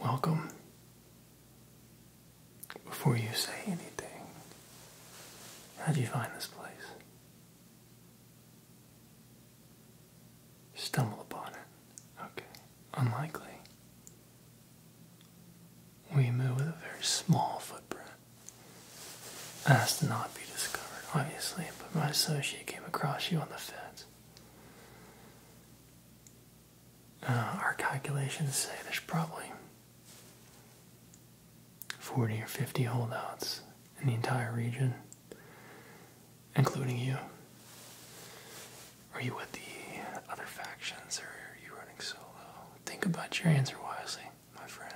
Welcome. Before you say anything, how'd you find this place? Stumble upon it. Okay. Unlikely. We move with a very small footprint. Has to not be discovered, obviously, but my associate came across you on the fence. Uh, our calculations say there's probably 40 or 50 holdouts in the entire region, including you. Are you with the other factions or are you running solo? Think about your answer wisely, my friend.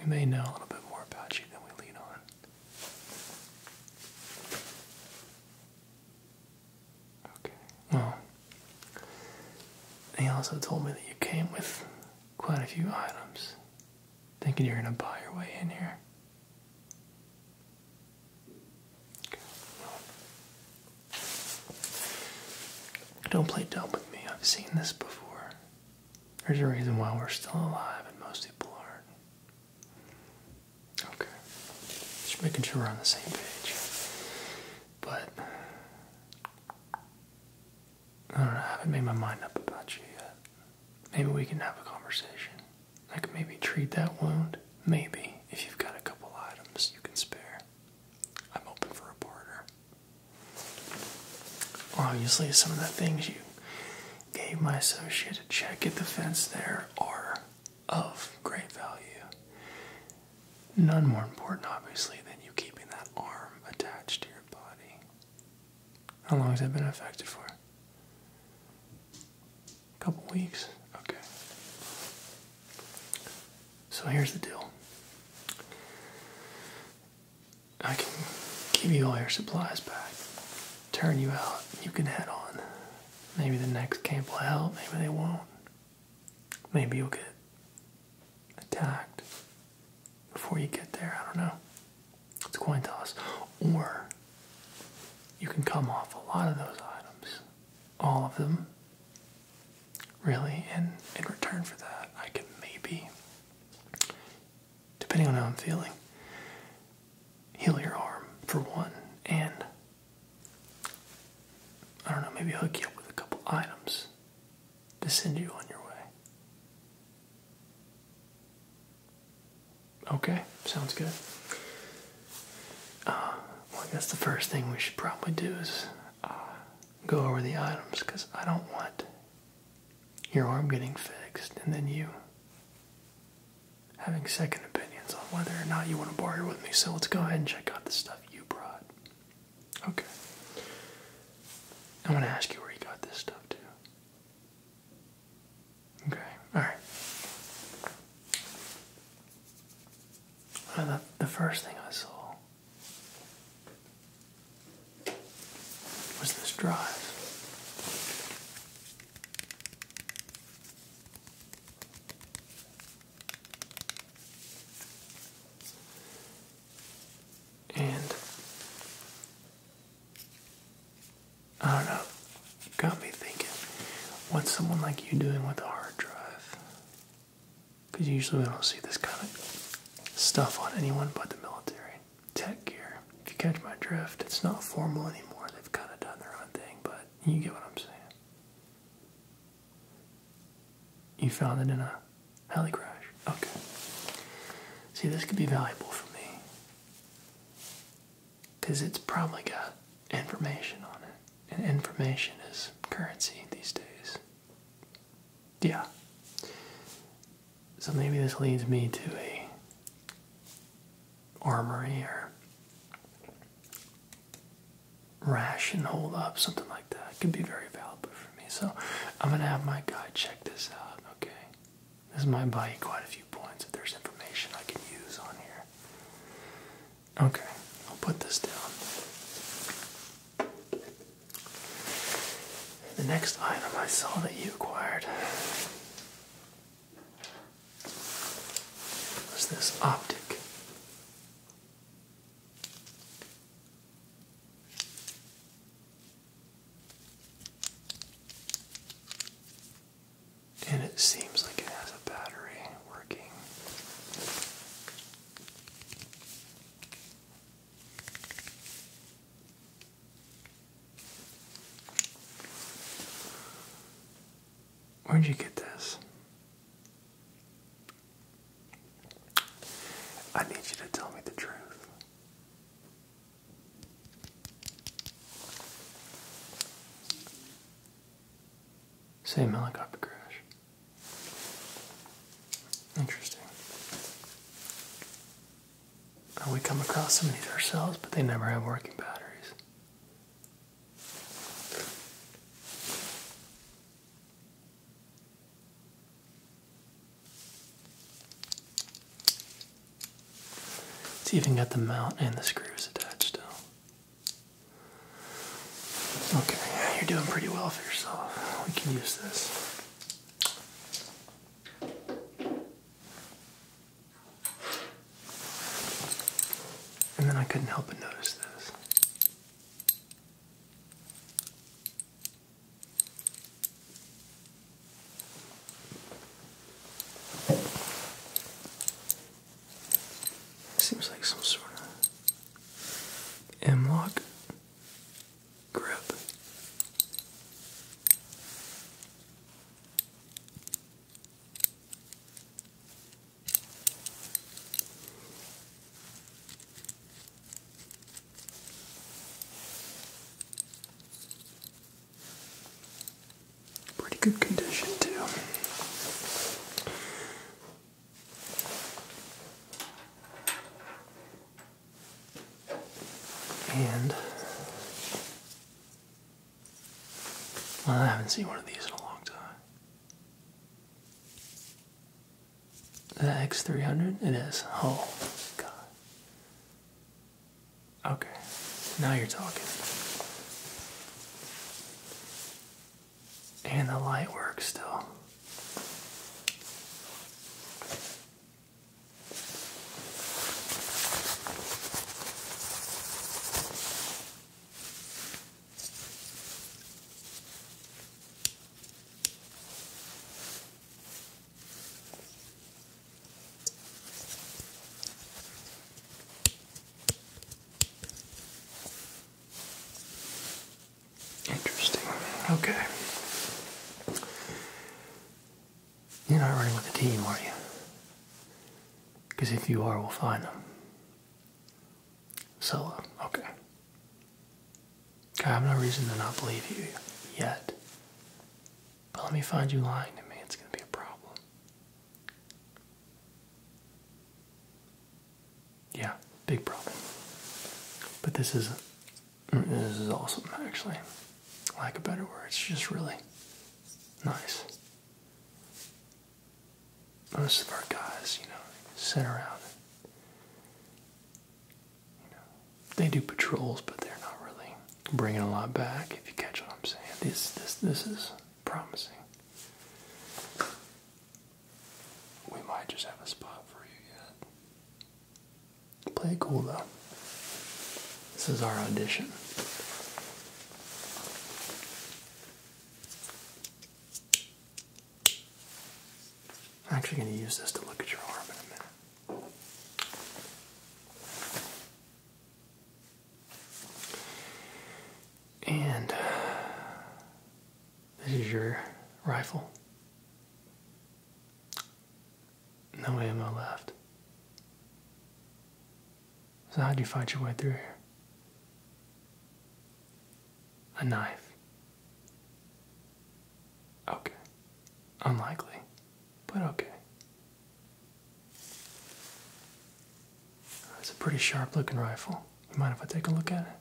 We may know a little bit more about you than we lead on. Okay. Well, he also told me that you came with quite a few items, thinking you're gonna buy your way in here. don't play dumb with me. I've seen this before. There's a reason why we're still alive and most people aren't. Okay. Just making sure we're on the same page. But I haven't made my mind up about you yet. Maybe we can have a conversation. I can maybe treat that wound. Maybe, if you've got a couple items you can spare. I'm open for a barter. Obviously, some of the things you gave my associate to check at the fence there are of great value. None more important, obviously, than you keeping that arm attached to your body. How long has that been affected for? A couple weeks? Okay. So here's the deal I can give you all your supplies back, turn you out, you can head on. Maybe the next camp will help, maybe they won't. Maybe you'll get attacked before you get there, I don't know. It's a coin toss. Or you can come off a lot of those items, all of them, really, and in return for that, I can maybe, depending on how I'm feeling, heal your arm for one and I don't know, maybe hook you up with a couple items to send you on your way. Okay, sounds good. Uh, well, I guess the first thing we should probably do is uh, go over the items because I don't want your arm getting fixed and then you having second opinions on whether or not you want to borrow it with me, so let's go ahead and check out the stuff you brought. Okay. i want to ask you where you got this stuff, too. Okay, alright. Uh, the first thing I saw was this drive. And I don't know, got me thinking, what's someone like you doing with a hard drive? Because usually we don't see this kind of stuff on anyone but the military. Tech gear. If you catch my drift, it's not formal anymore. They've kind of done their own thing, but you get what I'm saying. You found it in a heli crash. Okay. See, this could be valuable for me. Because it's probably got information on it. And information is currency these days. Yeah. So maybe this leads me to a armory or rash and hold up, something like that. could be very valuable for me. So I'm gonna have my guy check this out, okay? This might buy you quite a few points if there's information I can use on here. Okay, I'll put this down. The next item I saw that you acquired What's this optic? And it seems like it has a battery working. Where'd you get this? I need you to tell me the truth. Same helicopter crash. Interesting. We come across some of these ourselves, but they never have working batteries. It's even got the mount and the screws attached still. Okay, you're doing pretty well for yourself. We can use this. And then I couldn't help but notice this. Seems like some sort of M-lock grip. Pretty good condition, too. And I haven't seen one of these in a long time. Is that X300? It is. Oh, God. Okay. Now you're talking. And the light works still. Interesting. Okay. You're not running with the team, are you? Because if you are, we'll find them. Scylla, okay. I have no reason to not believe you yet. But let me find you lying to me. It's going to be a problem. Yeah, big problem. But this is this is awesome actually. like a better word. It's just really nice most of our guys, you know, sit around you know, they do patrols, but they're not really bringing a lot back. If you catch what I'm saying, this this this is promising. We might just have a spot for you yet. Play cool though. This is our audition. I'm actually going to use this to look at your arm in a minute. And this is your rifle. No ammo left. So, how'd you fight your way through here? A knife. Okay. Unlikely, but okay. It's a pretty sharp looking rifle. mind if I take a look at it?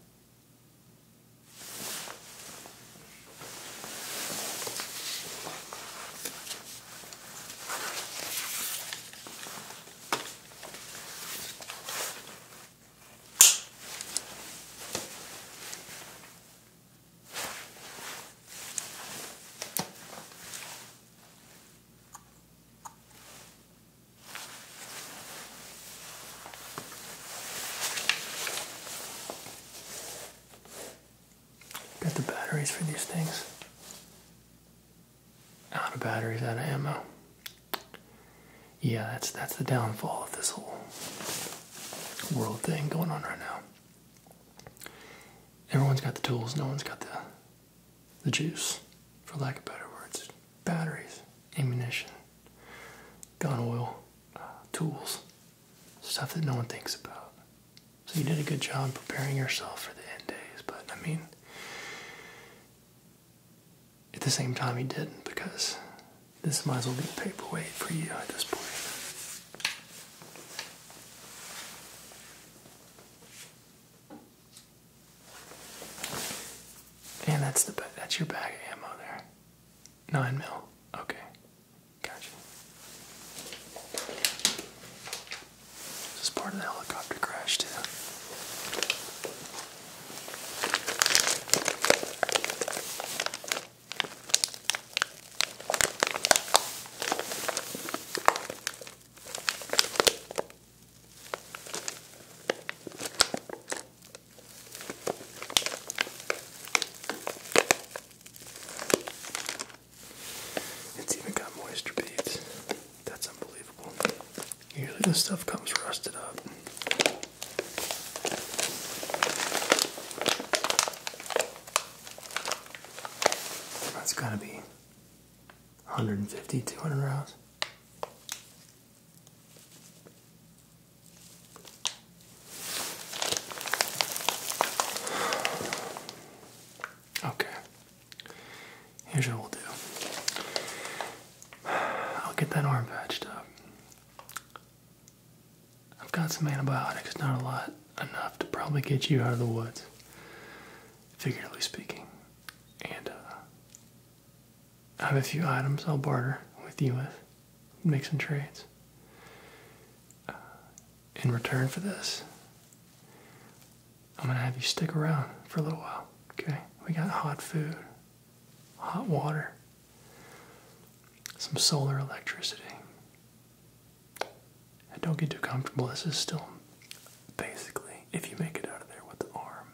Got the batteries for these things out of batteries, out of ammo. Yeah, that's that's the downfall of this whole world thing going on right now. Everyone's got the tools, no one's got the the juice, for lack of better words. Batteries, ammunition, gun oil, uh, tools, stuff that no one thinks about. So you did a good job preparing yourself for the end days, but I mean at the same time he didn't because this might as well be a paperweight for you at this point. And that's the that's your bag of ammo there. Nine mil. Okay. Gotcha. This is part of the helicopter crash too. It's even got moisture beads. That's unbelievable. Usually this stuff comes rusted up. That's gotta be 150, 200 rounds. Okay. Here's what we'll do. I'll get that arm patched up. I've got some antibiotics, not a lot, enough to probably get you out of the woods, figuratively speaking. And uh, I have a few items I'll barter with you with, make some trades. Uh, in return for this, I'm going to have you stick around for a little while. Okay? We got hot food, hot water, some solar electricity. And don't get too comfortable. This is still basically, if you make it out of there with the arm,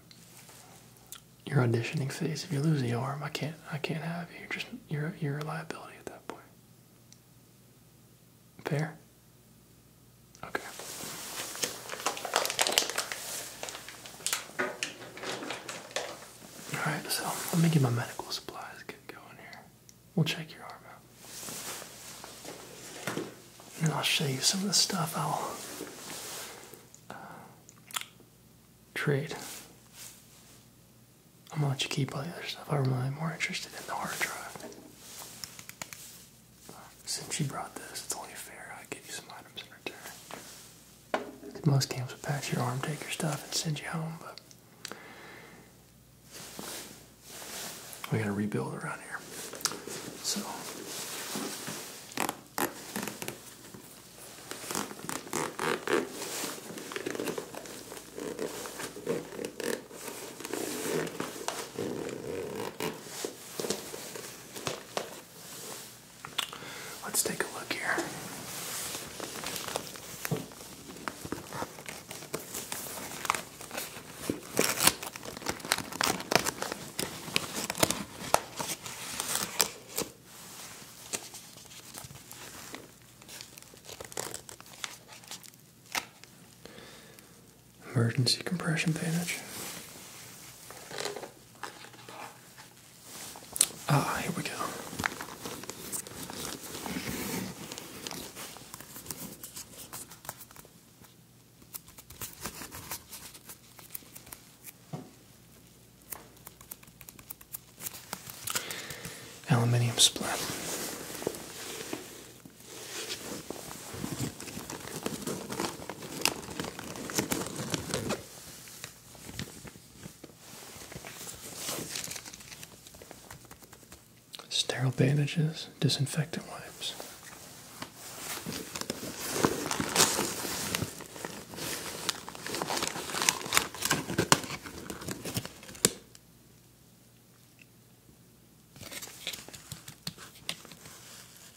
your auditioning phase. If you lose the arm, I can't. I can't have you. are just you're you're a liability at that point. Fair. Okay. Alright, so let me get my medical supplies get going here. We'll check your arm out. And I'll show you some of the stuff I'll uh, trade. I'm gonna let you keep all the other stuff. I'm more interested in the hard drive. Since you brought this, it's only fair I give you some items in return. Most camps would pack your arm, take your stuff, and send you home, but we gotta rebuild around here. So Let's take a look here emergency compression bandage. Ah, here we go. Aluminium splint. Sterile bandages, disinfectant wipes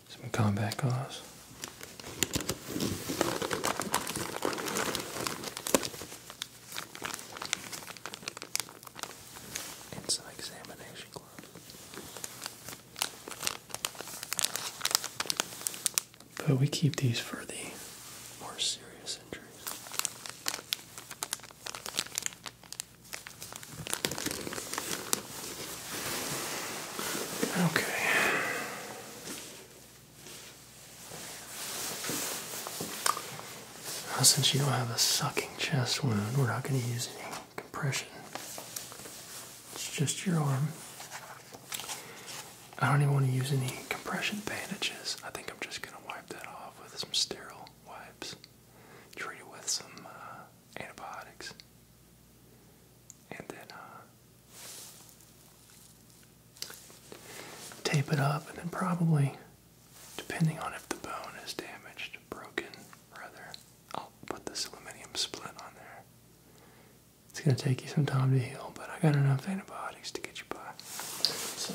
some combat cause. And some examination gloves. But we keep these for the more serious injuries. Okay. since you don't have a sucking chest wound, we're not going to use any compression. It's just your arm. I don't even want to use any compression bandages. I think I'm just going to wipe that off with some sterile wipes. Treat it with some uh, antibiotics and then uh, tape it up, and then probably, depending on if the bone is damaged, broken, rather, I'll put this aluminum split on there. It's gonna take you some time to heal, but I got enough antibiotics to get you by. So.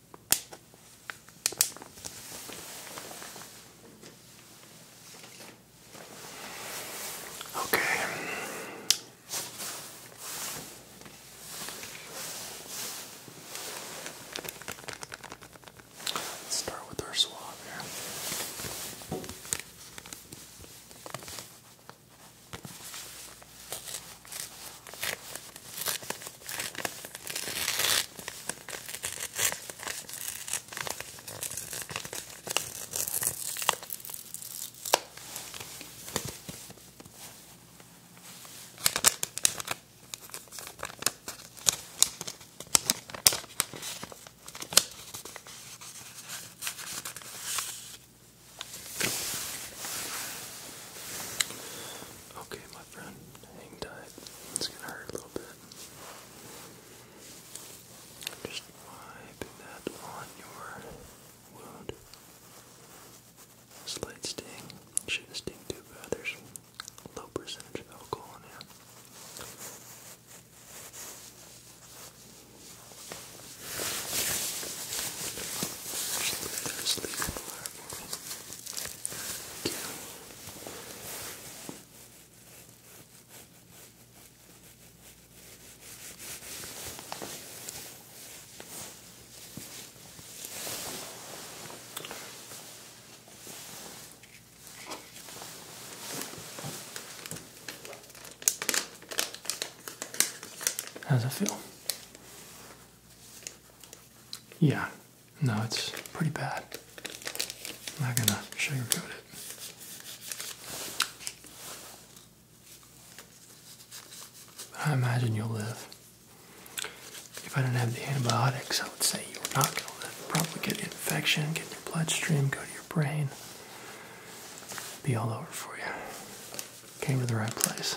Okay. start with our swab here. Okay, my friend, hang tight. It's gonna hurt a little bit. Just wiping that on your wound. Slight sting. Shouldn't sting too bad. There's low percentage of alcohol in here. Just leave that asleep. How's it feel? Yeah, no, it's pretty bad. I'm not gonna sugarcoat it. But I imagine you'll live. If I didn't have the antibiotics, I would say you are not gonna live. Probably get infection, get in your bloodstream, go to your brain, be all over for you. Came to the right place.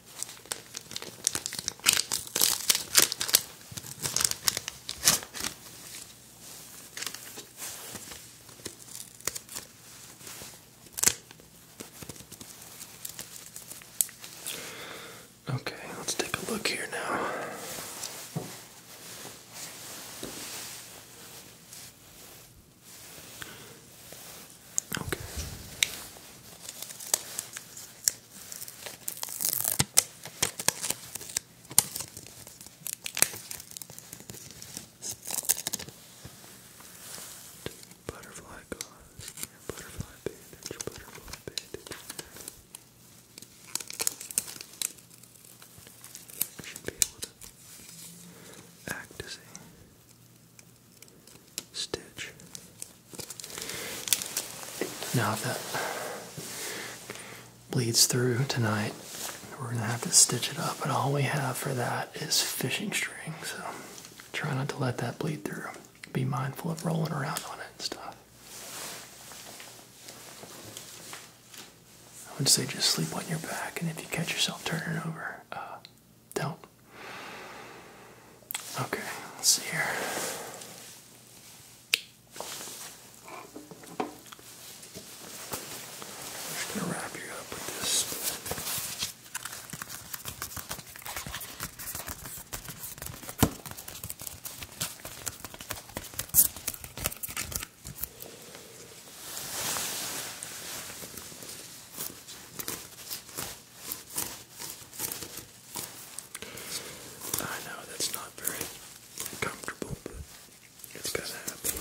Okay, let's take a look here now. Okay. Butterfly gauze, butterfly bandage, butterfly bandage. should be able to act as a stitch. Now that bleeds through tonight, we're gonna have to stitch it up, but all we have for that is fishing string, so try not to let that bleed through. Be mindful of rolling around on it and stuff. I would say just sleep on your back, and if you catch yourself turning over, uh, don't. Okay, let's see here. just gonna wrap you up with this. I know that's not very comfortable, but it's gonna happen.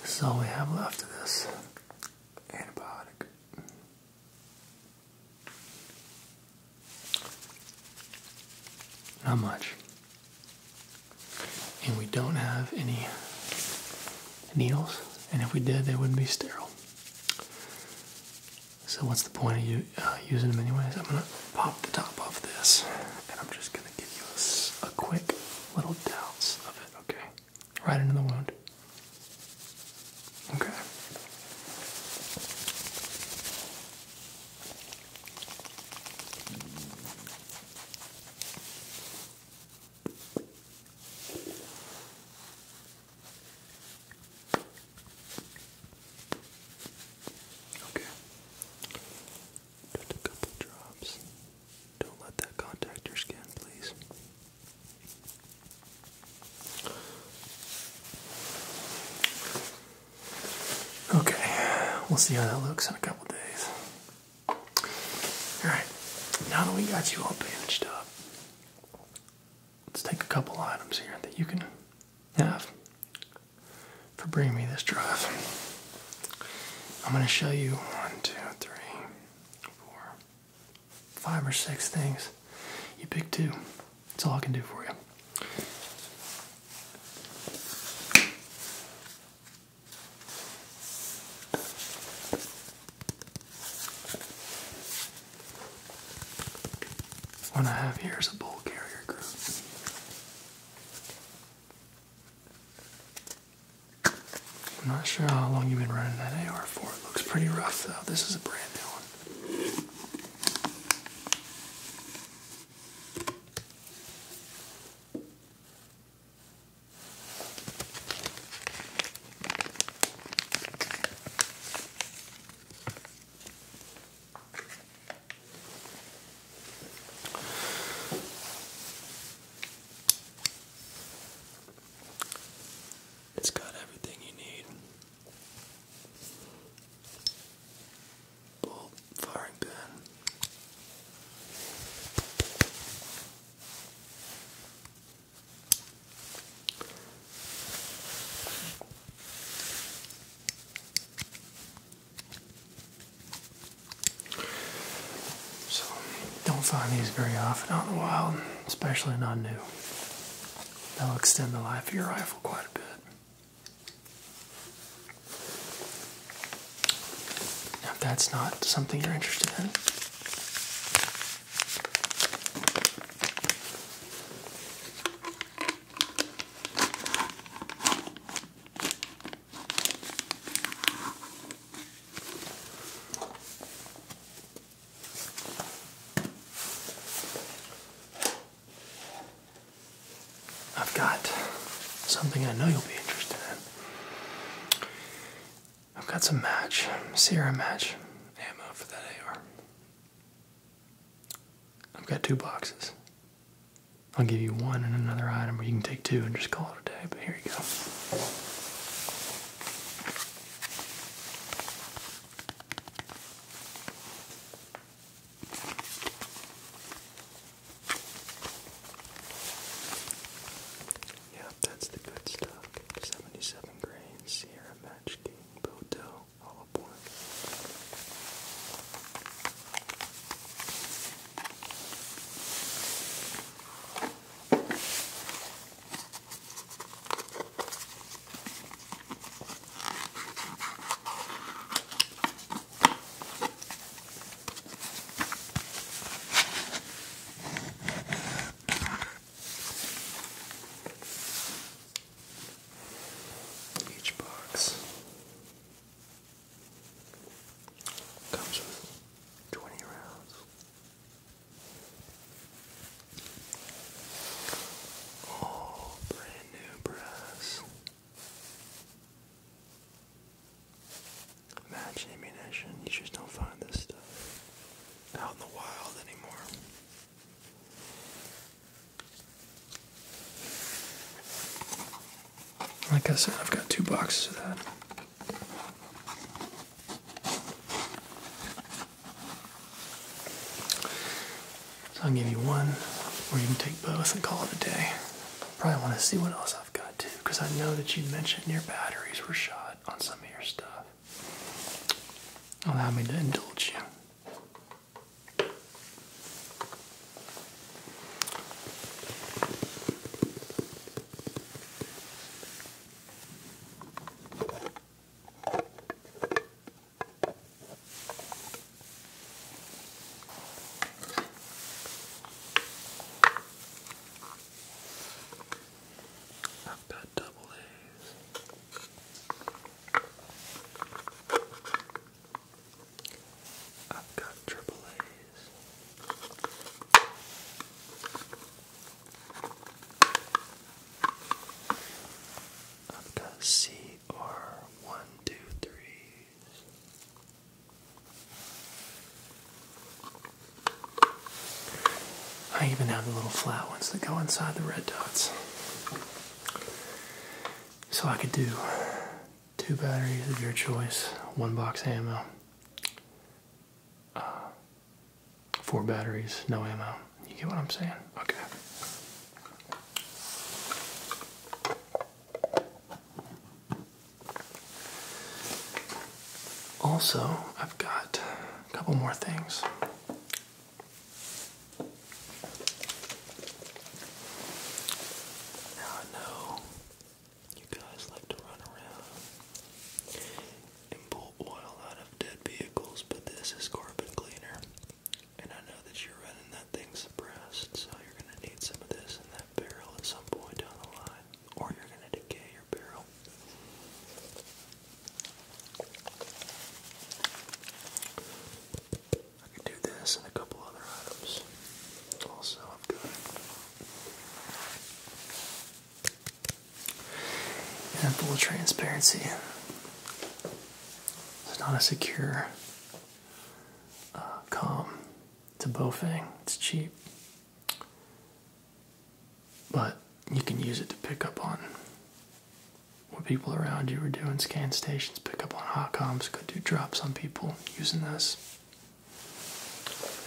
This is all we have left of this antibiotic. Not much. And we don't have any needles, and if we did, they wouldn't be sterile. So what's the point of you uh, using them anyways? I'm gonna pop the top off this, and I'm just gonna give you a, quick little dose of it. Okay, right into the wound. Okay. Okay. Just a couple drops. Don't let that contact your skin, please. Okay, we'll see how that looks in a couple days. Alright, now that we got you all bandaged up, let's take a couple items here that you can have for bringing me this drive. I'm going to show you one, two, three, four, five or six things. You pick two. That's all I can do for you. What I have here is a bull carrier group. I'm not sure how long you've been running that AR for. It looks pretty rough though. This is a brand new one. It's got everything you need. So, don't find these very often out in the wild, especially not new. They'll extend the life of your rifle quite a bit if that's not something you're interested in, I've got something I know you'll be interested in. I've got some match, Sierra match ammo for that AR. I've got two boxes. I'll give you one and another item, or you can take two and just call it a day, but here you go. Yep, that's the good stuff. 77 grains, Sierra Match King, Bodo, all aboard. Each box comes with 20 rounds. All brand new brass. Match ammunition, you just don't find this stuff out in the wild anymore. Like I said, I've got two boxes of that. So I'll give you one, or you can take both and call it a day. Probably want to see what else I've got too, because I know that you mentioned your batteries were shot on some of your stuff. Allow me to indulge you. I've got double A's. I've got triple A's. I've got C one, two, three, I even have the little flat ones that go inside the red dots. So I could do two batteries of your choice, one box ammo, uh, four batteries, no ammo. You get what I'm saying? Okay. Also, I've got a couple more things. Now I know you guys like to run around and pull oil out of dead vehicles, but this is carbon cleaner. And I know that you're running that thing suppressed, so you're going to need some of this in that barrel at some point down the line, or you're going to decay your barrel. I could do this and a couple other items. Also, I've got. In full transparency, it's not as secure uh, calm to Bofang. It's cheap, but you can use it to pick up on what people around you are doing. Scan stations, pick up on hot comms. Could do drops on people using this.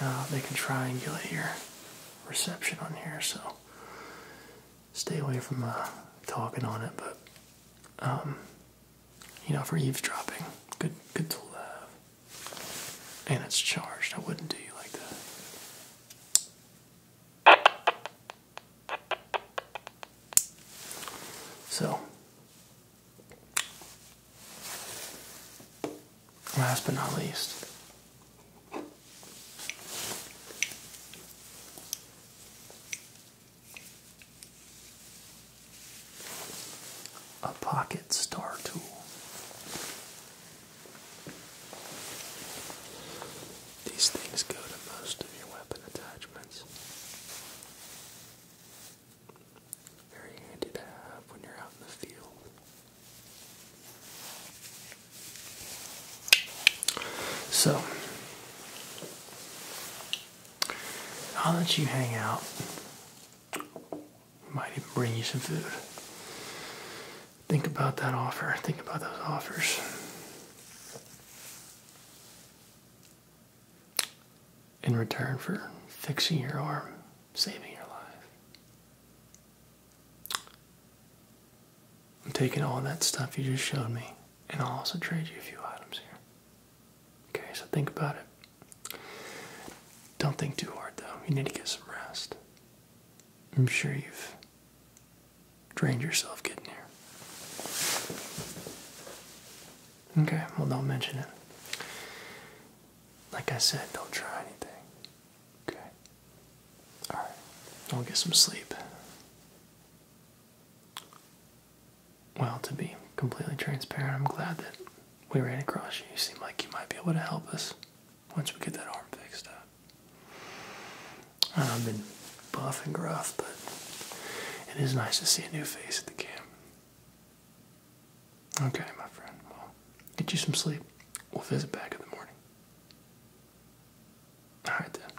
Uh, they can triangulate your reception on here, so stay away from uh, talking on it. But um, you know, for eavesdropping. Good, good tool to have. And it's charged. I wouldn't do you like that. So, last but not least a pocket star tool. These things go to most of your weapon attachments. Very handy to have when you're out in the field. So, I'll let you hang out. Might even bring you some food. Think about that offer. Think about those offers. In return for fixing your arm, saving your life. I'm taking all that stuff you just showed me and I'll also trade you a few items here. Okay, so think about it. Don't think too hard though. You need to get some rest. I'm sure you've drained yourself getting here. Okay, well, don't mention it. Like I said, don't try anything. Okay. Alright, I'll get some sleep. Well, to be completely transparent, I'm glad that we ran across you. You seem like you might be able to help us once we get that arm fixed up. I've been buff and gruff, but it is nice to see a new face at the camp. Okay, my friend. Well, get you some sleep. We'll visit back in the morning. All right, then.